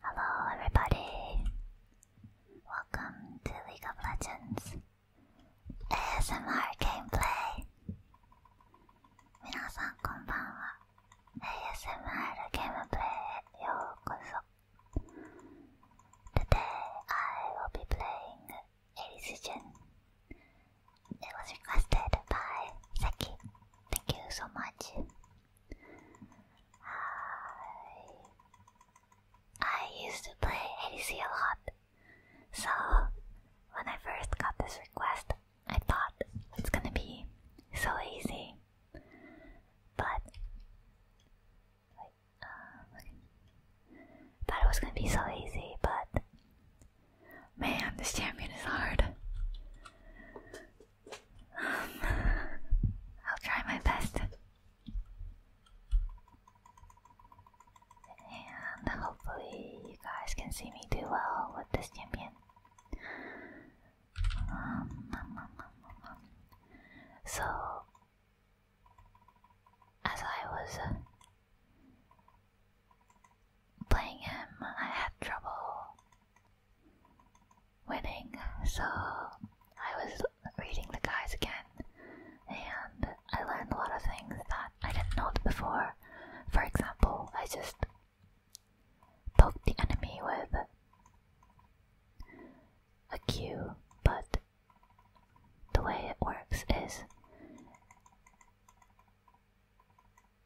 Hello everybody! Welcome to League of Legends ASMR Gameplay! 皆さんこんばんは ASMR Gameplay へようこそ Today I will be playing Elizujin It was requested by Seki Thank you so much I, I used to play ADC a lot, so when I first got this request, I thought it's gonna be so easy. But uh, thought it was gonna be so easy, but man, this champion is hard. I'll try my best. And hopefully, you guys can see me do well with this champion. Um, um, um, so, as I was uh, playing him, I had trouble winning, so I was reading the guys again, and I learned a lot of things that I didn't know before. For example, I just poked the enemy with a cue, but the way it works is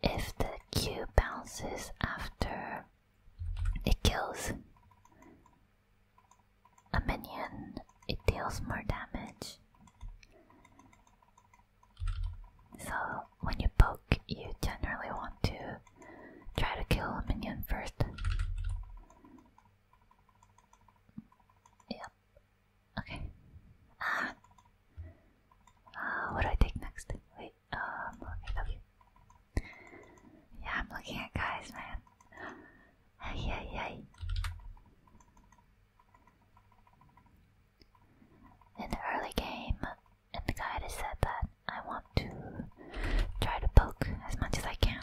if the cue bounces after it kills a minion, it deals more damage. So, when you poke, you generally want to try to kill a minion first. Yep. Okay. Ah. ah what do I take next? Wait. Um, Yeah, I'm looking at guys, man. Hey, hey, In the early game, and the guide has said that I want to try to poke as much as I can.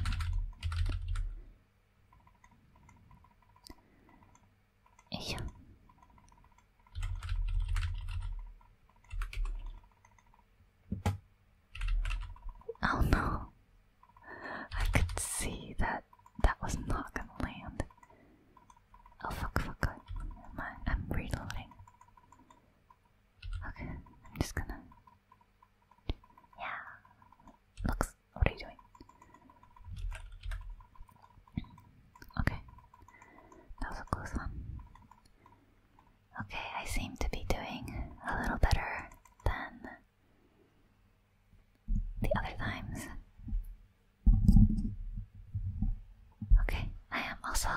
Yeah. Oh no. I could see that that was not gonna land. Oh fuck, fuck, I, I'm reloading. Okay, I'm just gonna. Yeah. Looks. What are you doing? Okay. That was a close one. Okay, I seem to be doing a little better than the other times. Okay, I am also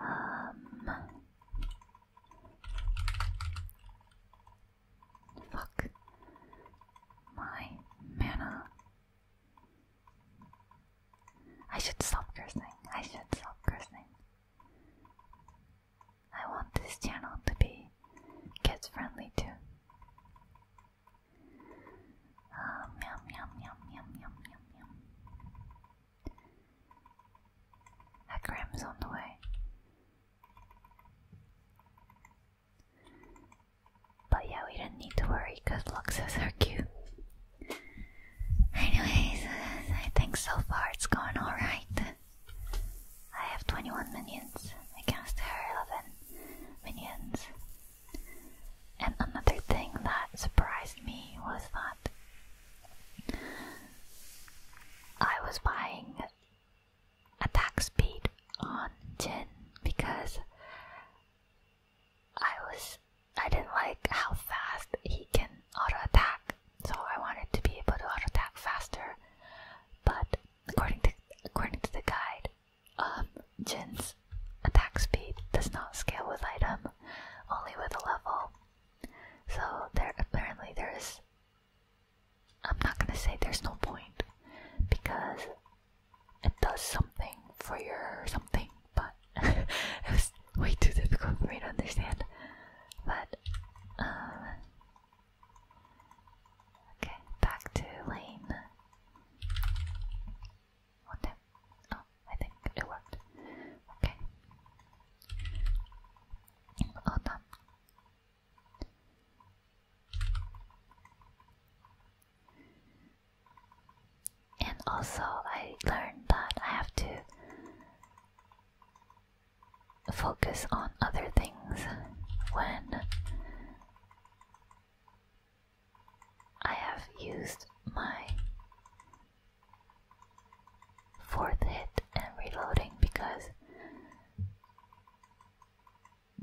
um fuck my mana I should stop cursing. I should stop cursing. I want this channel to be kids friendly too. Uh, yum, yum, yum, yum, yum, yum, yum. Akram's on the way. But yeah, we didn't need to worry because Luxus are cute. Anyways, I think so far it's going alright. I have 21 minions against her 11 minions. And another thing that surprised me was that I was buying attack speed on Jin because I was I didn't like how fast he can auto attack, so I wanted to be able to auto attack faster. But according to according to the guide, um, Jin's attack speed does not scale with item, only with the level. So there apparently there is. I'm not gonna say there's no point because it does something for your something, but it was way too difficult for me to understand. But, um, okay, back to lane. What the? Oh, I think it worked. Okay. All done and also I learned that I have to focus on other things when I have used my fourth hit and reloading because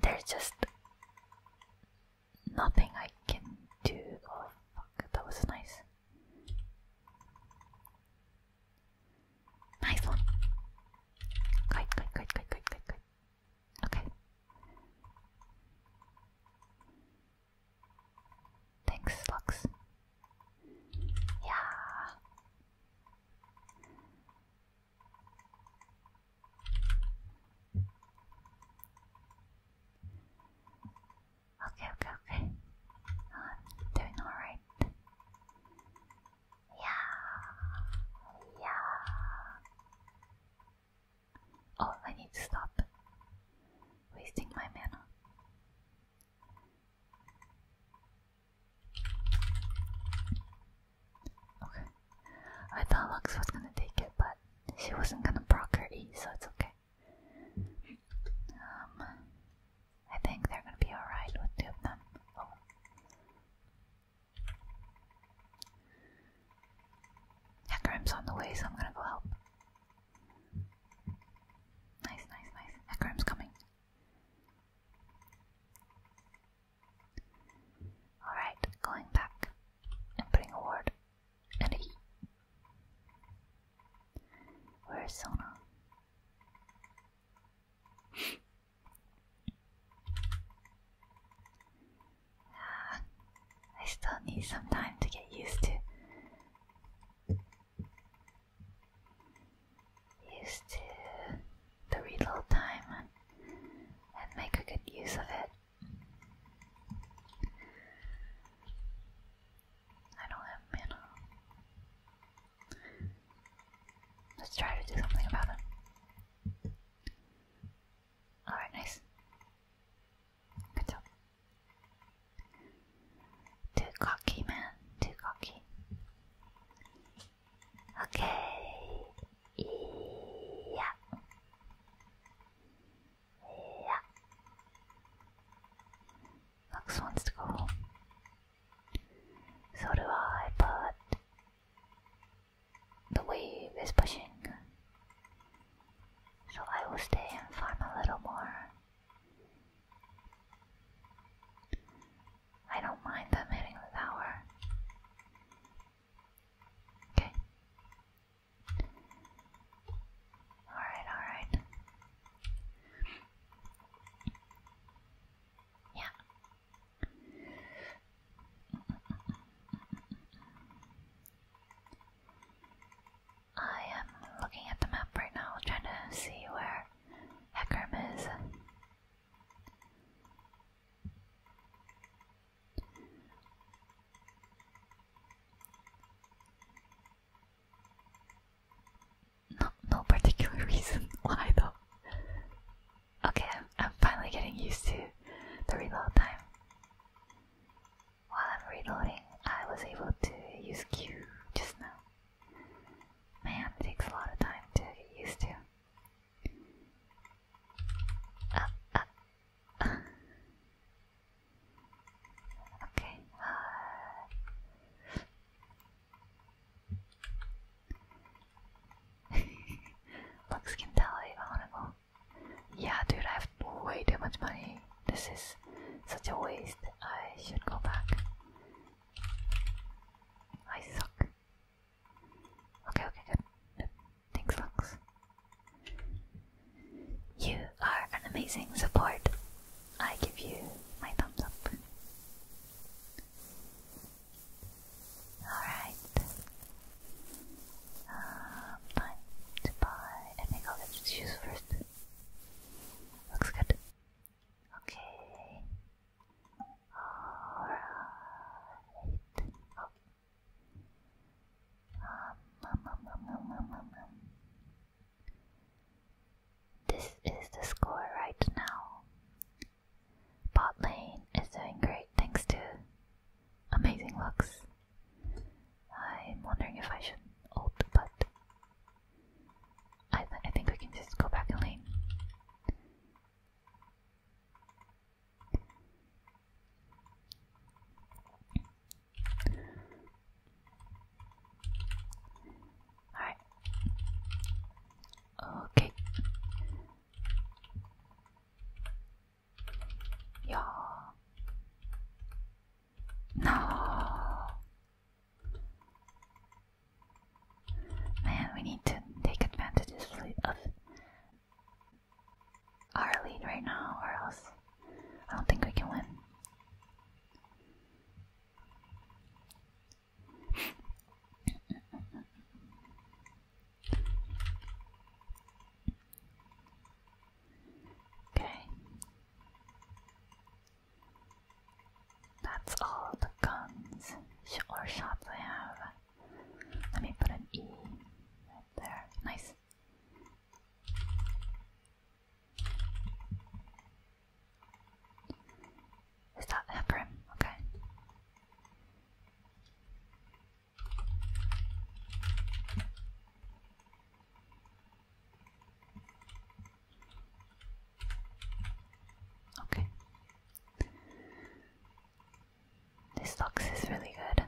there's just nothing I can do. Oh fuck, that was nice. Nice one. Good, good, good, good, good, good, good. Okay. Thanks, Lux. Yeah. Okay, okay, okay. I'm doing alright. Yeah, yeah. Oh, I need to stop wasting my mana. Okay. I thought Lux was gonna take it, but she wasn't gonna proc her E, so it's okay. Um, I think they're gonna be alright with two of them. Oh. on the way, so I'm gonna go help. Nice, nice, nice. Hecarim's coming. Alright, going back and putting a ward and a Where's Sona? Ah, I still need some time to get used to. Used to the reload time and make a good use of it. I don't have mana. Let's try to do something about it. Alright, nice. Good job. Too cocky, man. Too cocky. Okay. Yeah. Yeah. Max wants to go So do I, but the wave is pushing. So I will stay and farm a little more. I don't mind them hitting the tower. Okay. Alright, alright. Yeah. I am looking at the map right now, trying to see where Hecarim is. No, no particular reason why though. Okay, I'm, finally getting used to the reload time. While I'm reloading, I was able to use Q just now. Man, it takes a lot of time to get used to. Uh, uh. Okay. Uh... Looks can tell I wanna go. Yeah, dude, I have way too much money. This is such a waste. I should go back. I suck. Okay, okay, good. Things looks. You are an amazing support. I give you my thumbs up. Alright. Um, time to buy. I think i shoes first. Looks good. Okay. Alright. Oh. This is the score right now. Bot lane is doing great thanks to amazing looks. I'm wondering if I should ult, but I, I think we can just go back in lane. Alright. Okay. Yeah. No. Man, we need to take advantage of our lead right now, or else I don't think we can win. Okay. That's all the guns or shots I have. Let me put an E right there. Nice. Is Okay. Okay. This looks is really good.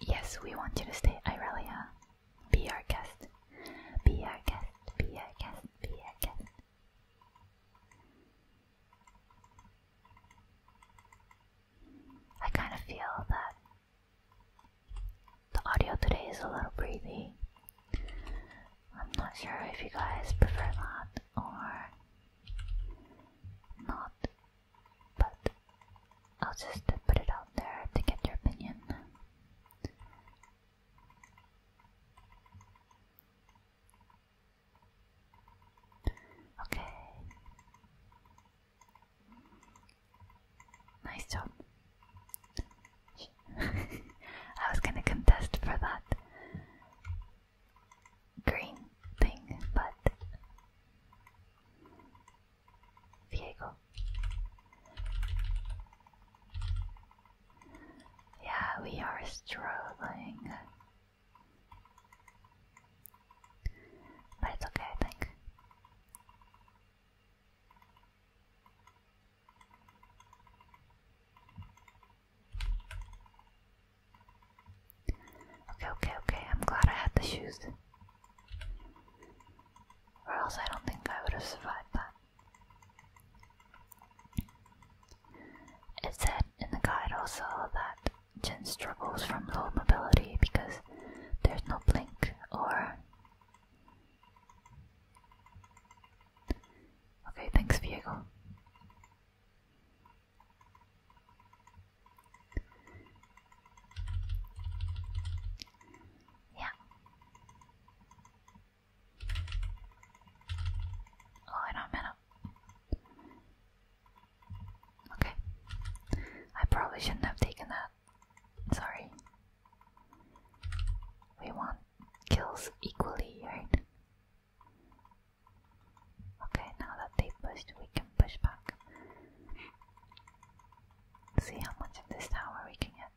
Yes, we want you to stay, Irelia. Be our guest. Be our guest. Be our guest. Be our guest. I kind of feel that the audio today is a little breathy. I'm not sure if you guys prefer that or not, but I'll just put it out there to get your opinion. Okay. Nice job. I was gonna contest for that green thing, but Diego. Yeah, we are struggling. But it's okay, I think. Okay, okay, okay. I'm glad I had the shoes. Or else I don't think I would have survived that. It said in the guide also that Jin struggles from low mobility because there's no blink or Okay, thanks, Diego. Yeah. Oh, I don't man up. Okay. I probably shouldn't have taken that. Sorry. We want kills equally, right? Okay, now that they pushed, we can push back. See how much of this tower we can get.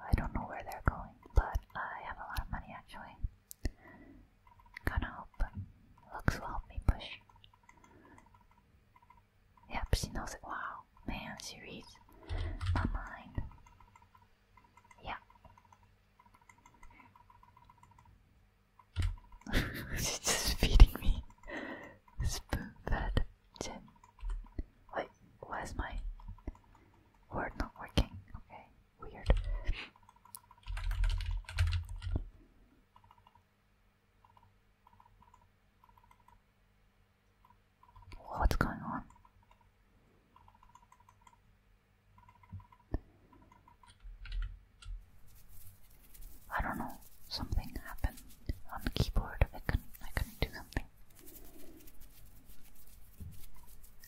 I don't know where they're going, but I have a lot of money actually. Gonna hope Lux will help me push. Yep, she knows it. Wow, man, she reads my mind. Yeah. She's just feeding me spoon fed Wait, why is my word not working? Okay, weird. What's going on? I don't know. Something happened on the keyboard. I couldn't. I couldn't do something.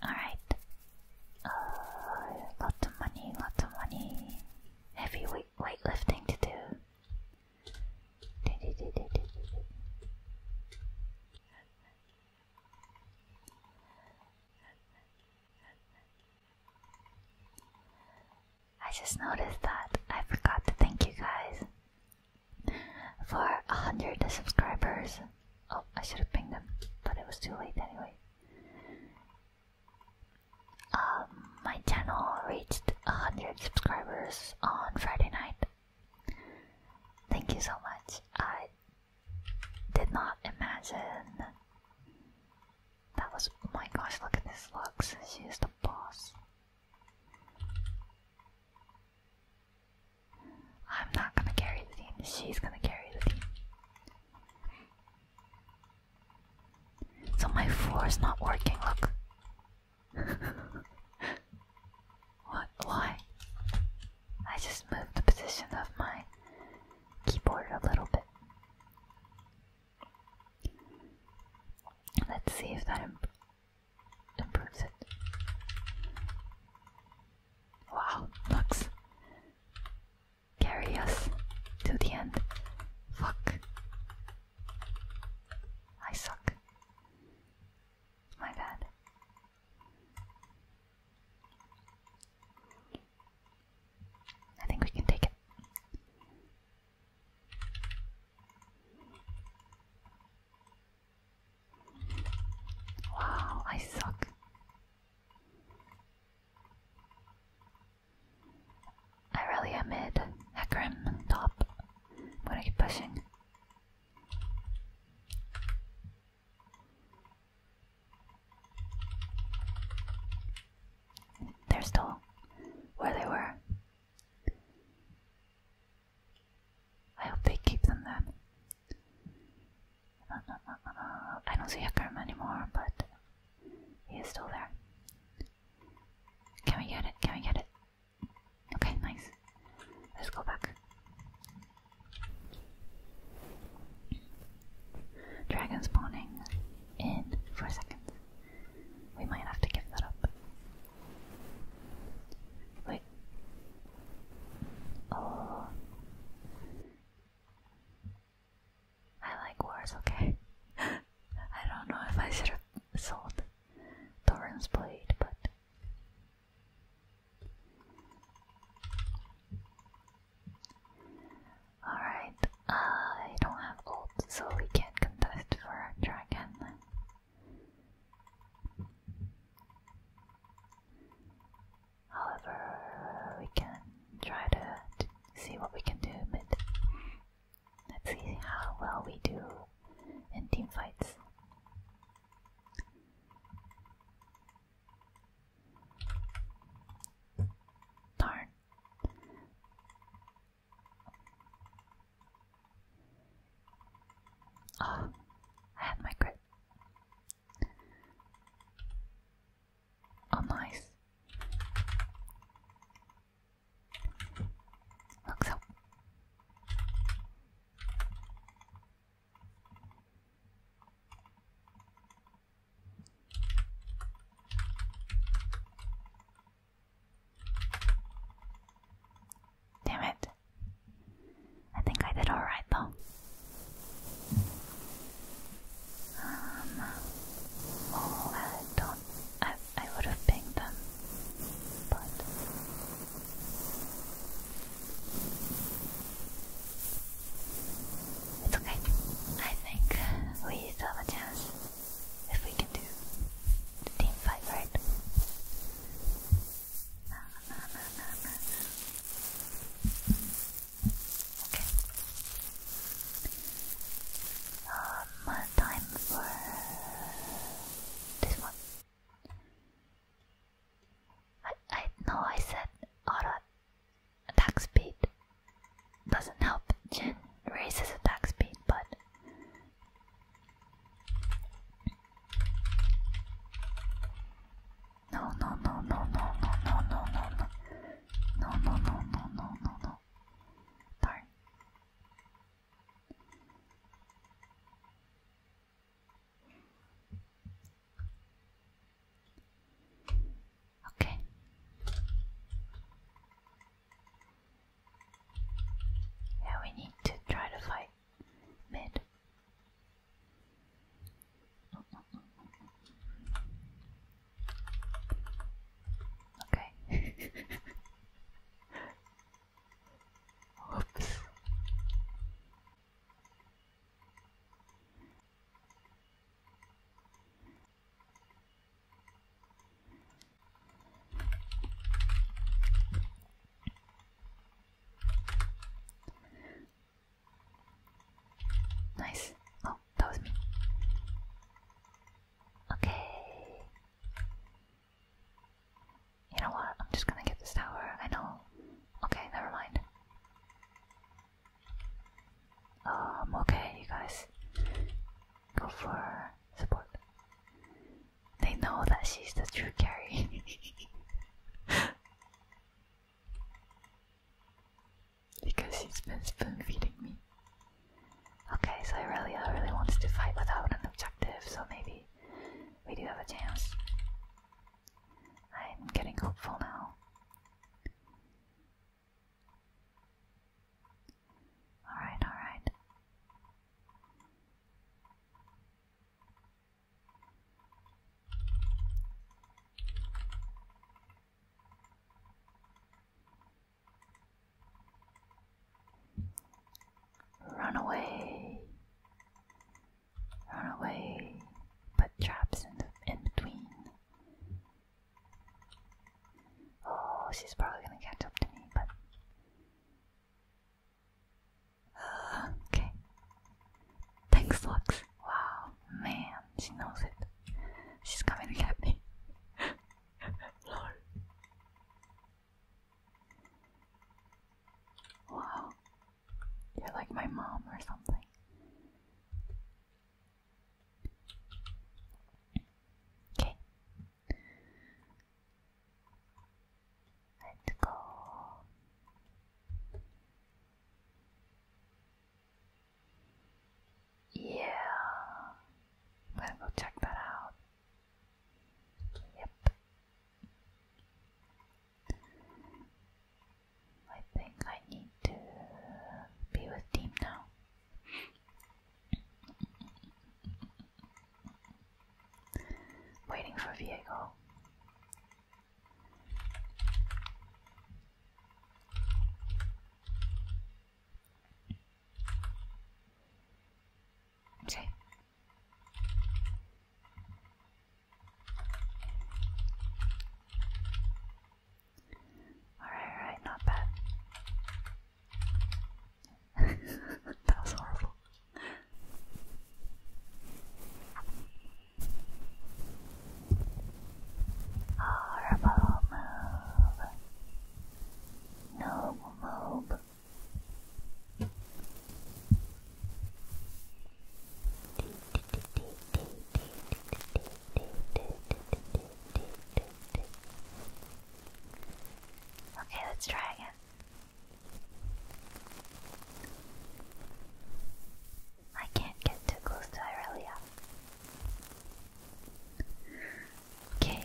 All right. Uh, lots of money. Lots of money. Heavy weight weightlifting to do. I just noticed that I forgot to thank you guys for a hundred subscribers. Oh, I should have pinged them, but it was too late anyway. Um, my channel reached a hundred subscribers on Friday night, Thank you so much. I did not imagine. That was. Oh my gosh, look at this looks. She is the boss. I'm not gonna carry the team, she's gonna carry the team. So my floor is not working, look what? Why? I just moved the position of my keyboard a little bit. Let's see if that improves it. Wow, looks carry to the end. Fuck. I suck. My bad. I think we can take it. Wow, I suck. I really am mid. Hecarim top. I'm going pushing. They're still where they were. I hope they keep them then. I don't see Akram anymore, but he is still there. Can we get it? Can we get it? Okay, nice. Let's go back. Dragon spawning in four seconds. We might have to give that up. Wait. Oh. I like wars, okay. I don't know if I should have sold Thorin's blade, but Alright, I don't have ult, so we can't contest for a dragon. However, we can try to, to see what we can do, but let's see how well we do in team fights. Darn. Oh, I had my grip. Oh, nice. Looks up. Damn it. I think I did alright though. Um, oh, I don't. I, I would have pinged them, but it's okay. I think we still have a chance if we can do team fight, right? No, no, no, no, no. Okay. Um, time for this one. I, I know I said attack speed doesn't help. Jin raises attack speed, but no, no, no, no, no, no, no, no, no, no, no, no, no, no, no, Okay. Yeah, we need to try to fight mid. Okay. Nice. Oh, that was me. Okay. You know what? I'm just gonna get this tower. I know. Okay, never mind. I'm um, okay, you guys. Go for support. They know that she's the true carry. because she's been spoon feeding me. Okay, so I really wants to fight without an objective, so maybe we do have a chance. I'm getting hopeful now. Alright, alright. Run away. Run away. Put traps in, in between. Oh, she's probably gonna catch up to me, but. Uh, okay. Thanks, Lux. Wow, man, she knows it. She's coming to get me. Wow. You're like my mom or something. Okay. Let's go. Yeah. I'm gonna go check that out. Yep. I think I need to be with team now. Waiting for vehicle. Okay, Alright, alright, not bad. that was horrible. Horrible move. No move. Okay, let's try again. I can't get too close to Irelia. Okay.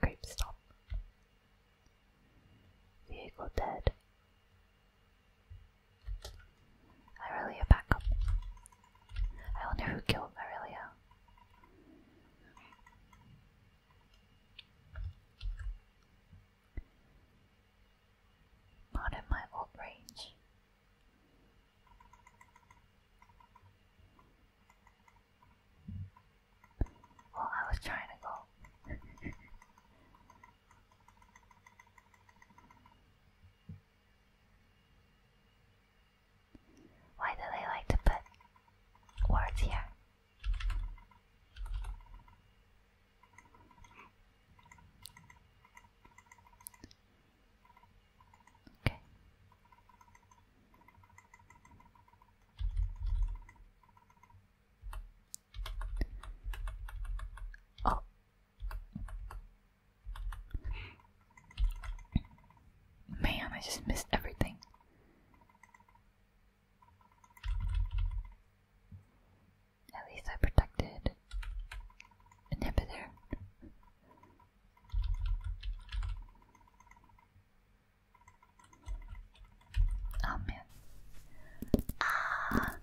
Creep stop. Vehicle dead. Irelia back up. I wonder who killed Irelia. Not in my range. Well, I was trying to go. Why do they like to put words here? Okay. Oh. Man, I just missed everything. At least I protected inhibitor. Oh man. Ah.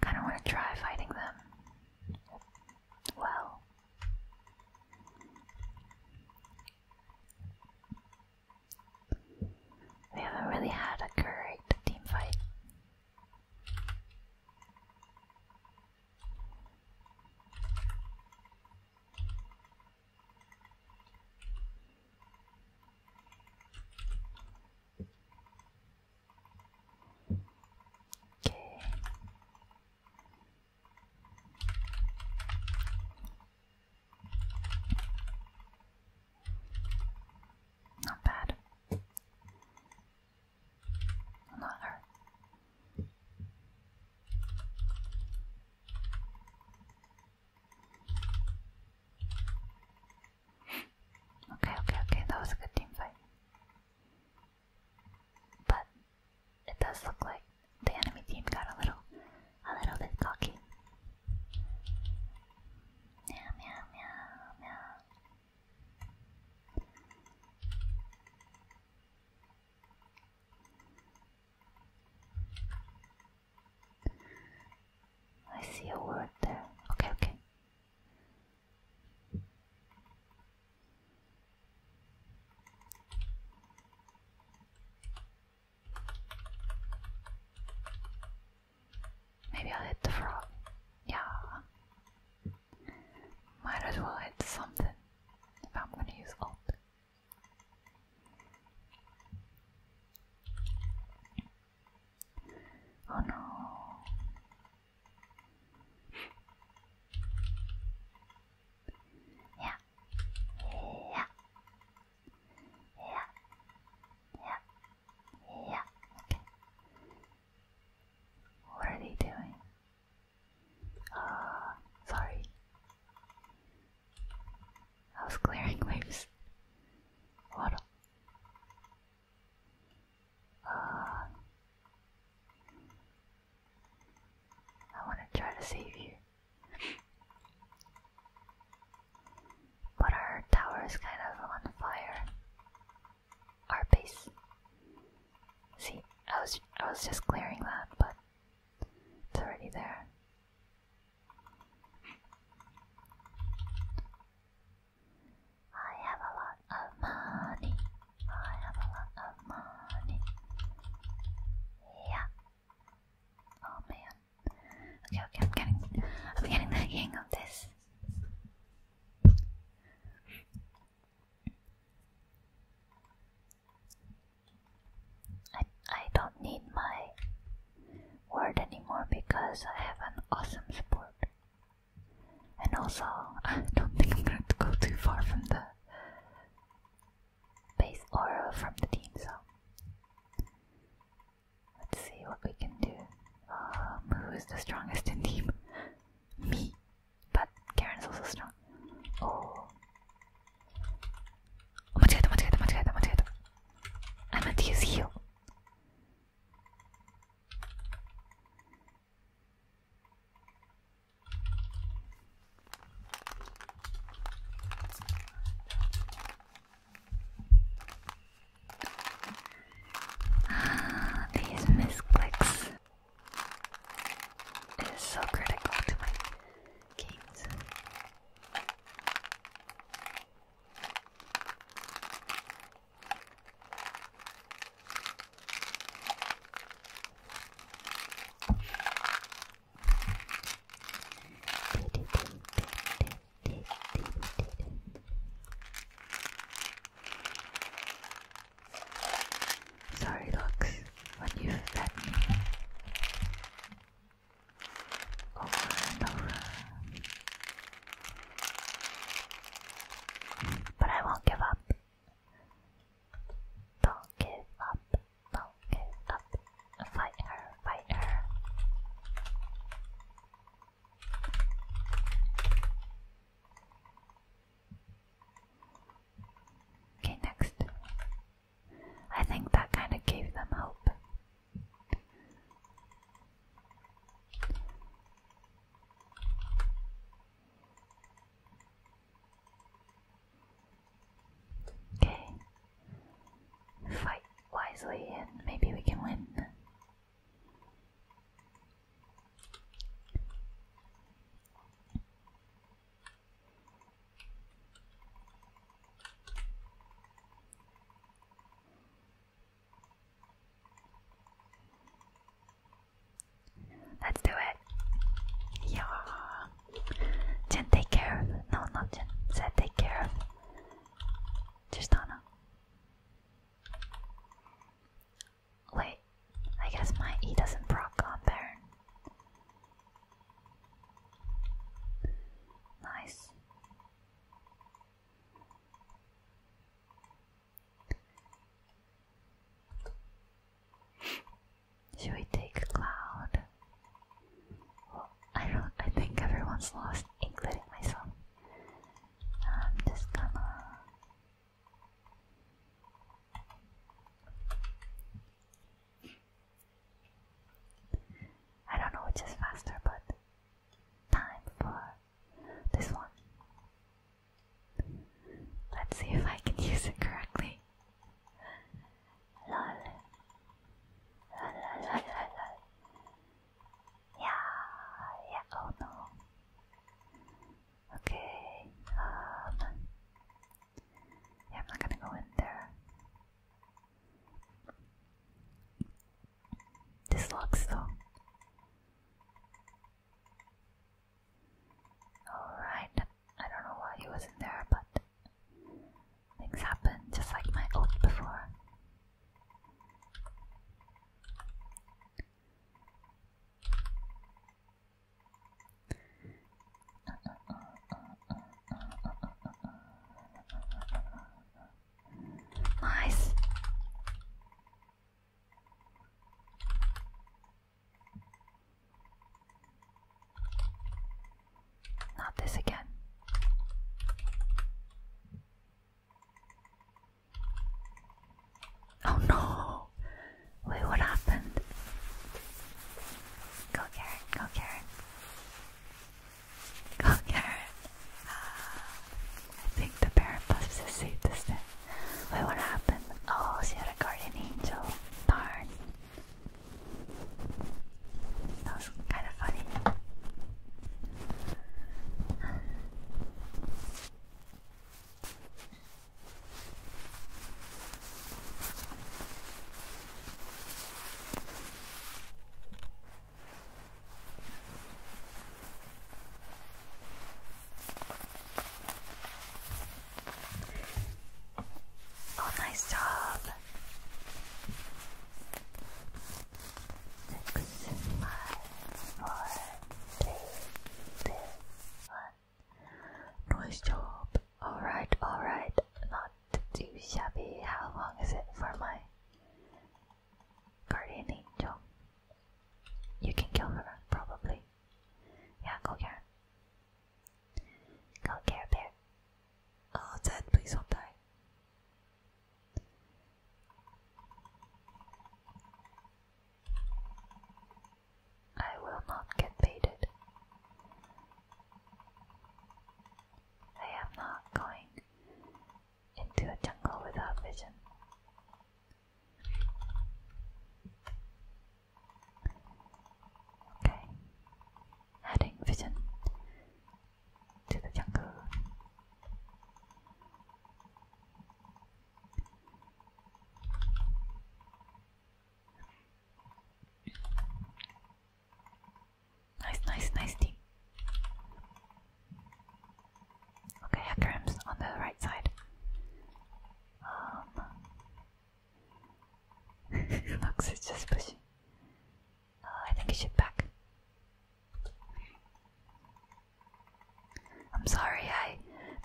kind of want to try fighting them. Well, we haven't really had a great team fight Okay. Not bad okay, okay, okay, that was a good team fight. But it does look like the enemy team got a little a little bit cocky. Meow meow meow meow I see a word there. Okay, okay. Maybe i hit the frog. Yeah. Might as well hit something if I'm gonna use ult. Oh no. Yeah. Yeah. Yeah. Yeah. Yeah. What are they doing? Ah, sorry. I was clearing waves. What? Uh, I want to try to save you. But our tower is kind of on fire our base. See, I was I was just clearing that, but it's already there. I have a lot of money. I have a lot of money. Yeah. Oh man. Okay, okay, I'm getting I'm getting the hang of this. I, I don't need my word anymore because I have an awesome support. And also, I don't think I'm going to go too far from the base or from the team, so let's see what we can do. Um, who is the strongest in team? Me. But Karen is also strong. Oh. Oh, much better, much better, much better, much better. I meant to use heal. these misclicks. It is so critical to my games. Sorry, looks, when you've fed me over and over. But I won't give up. Don't give up. Don't give up. Fight her. Fight her. Okay, next. I think that kind of gave them hope. Okay. Fight wisely and maybe we can win. Let's do it. Yeah. Jen, take care No, not Jen. Said take care Just Anna. Wait, I guess my E doesn't proc on there. Nice. Should we take Cloud? I don't. I think everyone's lost, including myself. I'm I don't know which is faster, but time for this one. Let's see if I can use it correctly. Lol. Yeah, yeah, oh no. Okay, um, yeah, I'm not gonna go in there. This locks though. Alright, I don't know why he was in there, but things happen just like my old before. Nice. Not this again. Oh no! Wait, what happened? Go Karen, go Karen. Go Karen. Ah, I think the parent bus is safe this time. Wait, what happened? Oh, she had a guardian angel. Darn. That was kind of funny. Oh, nice job. Six, five, four, three, two, one. Nice job. Alright, alright. Not too shabby. How long is it for my guardian angel? You can kill her, probably. Yeah, go get her. Go get her, bear. Oh, please don't die. I will not get baited. I am not going into a jungle without vision. Okay, adding vision to the jungle. Nice, nice, nice team. Okay, Hecarim's on the right side. Um, Lux is just pushing. Uh, I think he should back. I'm sorry I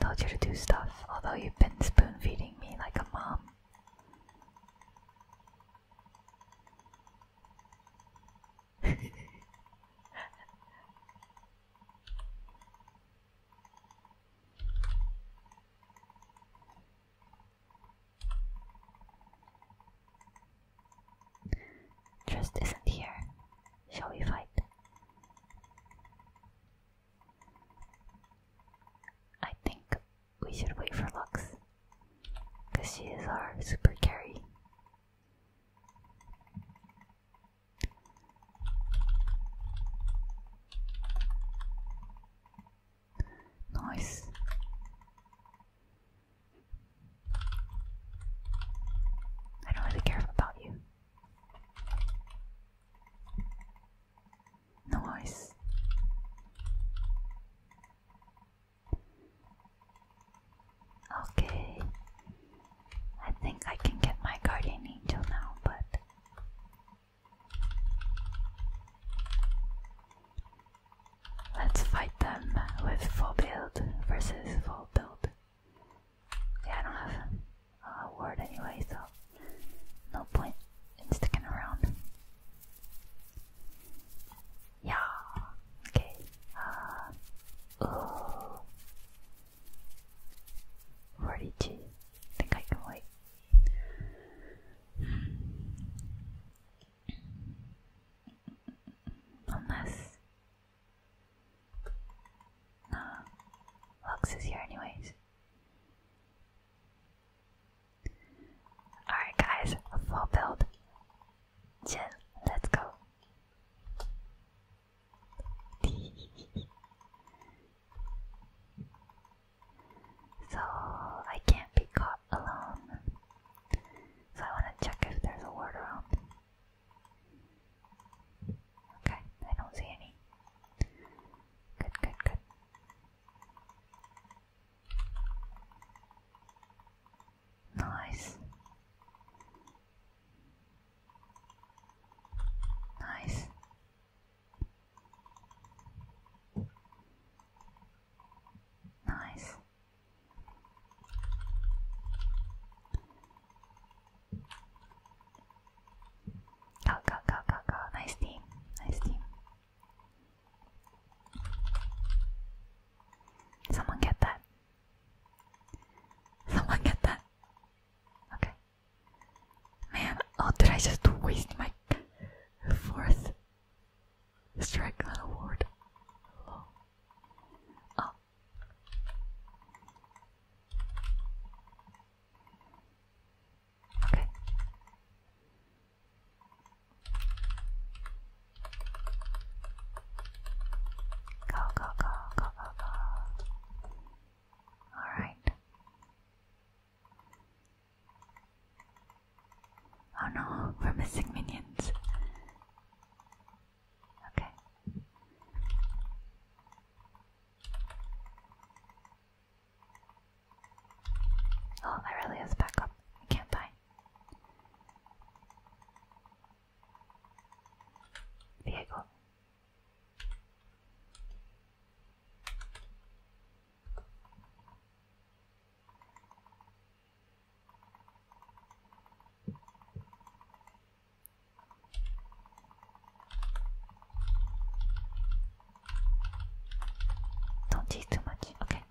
told you to do stuff, although you've been spoon feeding me like a mom. Trust isn't here. Shall we fight? I think we should wait for Lux, because she is our super carry. Nice. I don't really care about you. Nice. Okay. I think I can get my guardian angel now, but let's fight them with full build versus full build. Yeah, I don't have a word anyway, so no point in sticking around. Yeah. Okay. Uh. Forty-two. I think I can wait. Unless. Nah. Lux is here anyways. Alright guys, full build. Jin, let's go. so I can't be caught alone. So I want to check if there's a ward around. Okay, I don't see any. Good, good, good. Nice. Nice. Nice. Go, go, go, go, go. Nice team. Nice team. Someone get that. Someone get that. Okay. Man, oh, did I just waste my fourth strike on award? Hello. Oh. Go, go, go, go, go, go. Alright. Oh no, we're missing minions. Okay. Oh, to back up. I can't buy. Vehicle. Don't tease too much. Okay.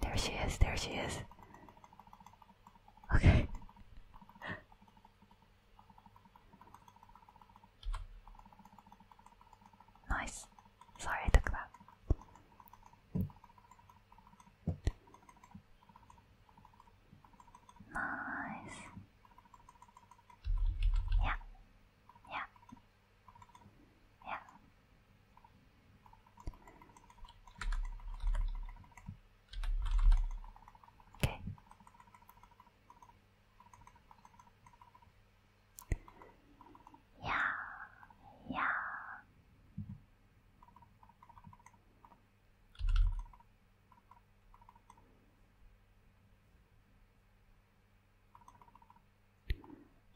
There she is. There she is. Okay. nice. Sorry, I took that. Nice. Yeah. Yeah. Yeah. Okay. Yeah. Yeah.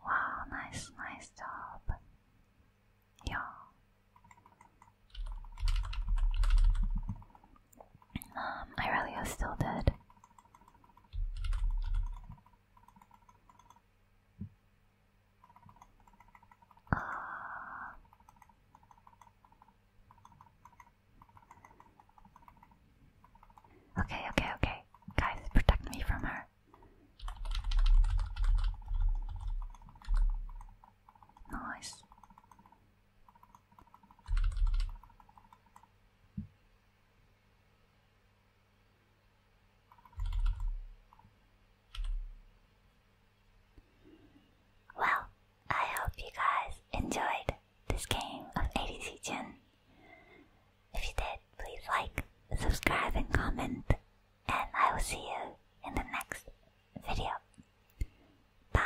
Wow, nice, nice job. Yeah. Um, Irelia still dead. Uh, Okay, okay, okay. Guys, protect me from her. Nice. Well, I hope you guys enjoyed this game of ADC Jin. If you did, please like, subscribe, and comment, and I will see you in the next video. Bye.